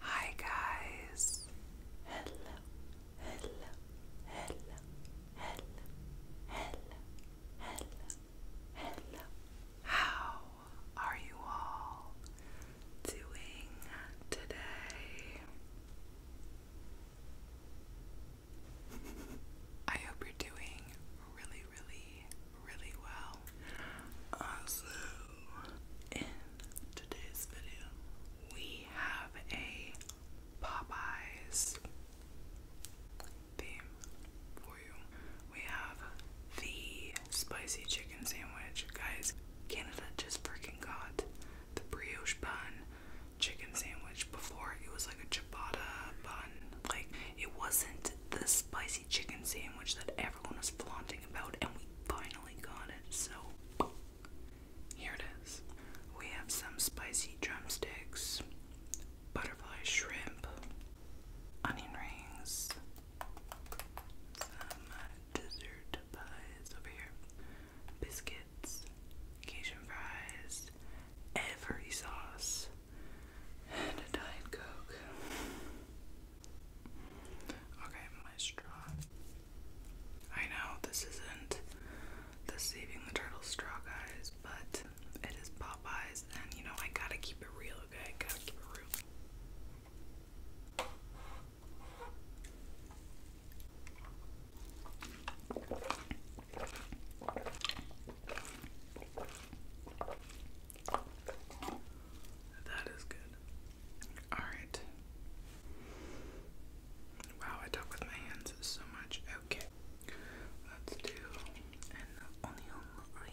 Hi guys. Hello. Hello. Hello. Hello. Hello. Hello. How are you all doing today? I hope you're doing really, really really well. Also, in today's video, we have a Popeyes theme for you. We have the spicy chicken sandwich. Guys, Canada just freaking got the brioche bun chicken sandwich. Before, it was like a ciabatta bun. Like, it wasn't the spicy chicken sandwich that was flaunting about, and we finally got it. So, here it is. We have some spicy drumsticks, butterfly shrimp, onion rings, some dessert pies over here, biscuits, Cajun fries, every sauce, and a Diet Coke. Okay, my straw. I know this isn't the Saving the Turtle straw, guys, but it is Popeyes, and you know, I gotta keep it real, okay? I gotta keep it real. That is good. Alright. Wow, I talk with my hands so much. Okay. Let's do an onion ring.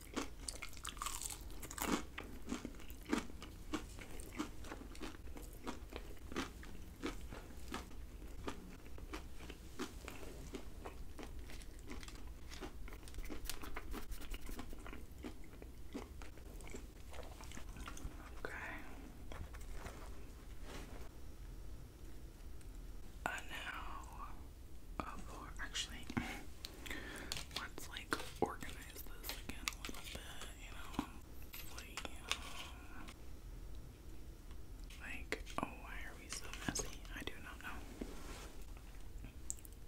Okay. And now, oh, actually. Let's like organize this again a little bit, you know? Um, like, oh, why are we so messy? I do not know.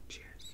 Cheers.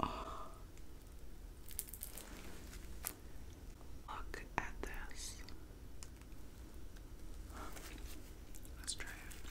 Oh. Look at this. Let's try it.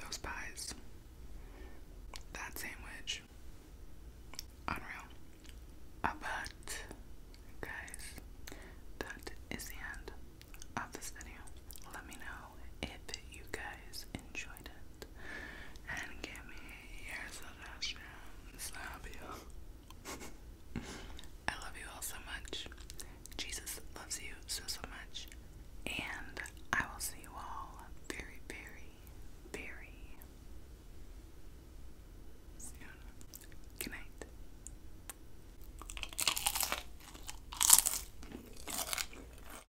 Those pies, that sandwich, unreal. Uh, but, guys, that is the end of this video. Let me know if you guys enjoyed it and give me your suggestions. I love you. I love you all so much. Jesus loves you so, so much. And I will see you all very, very, very soon. Good night.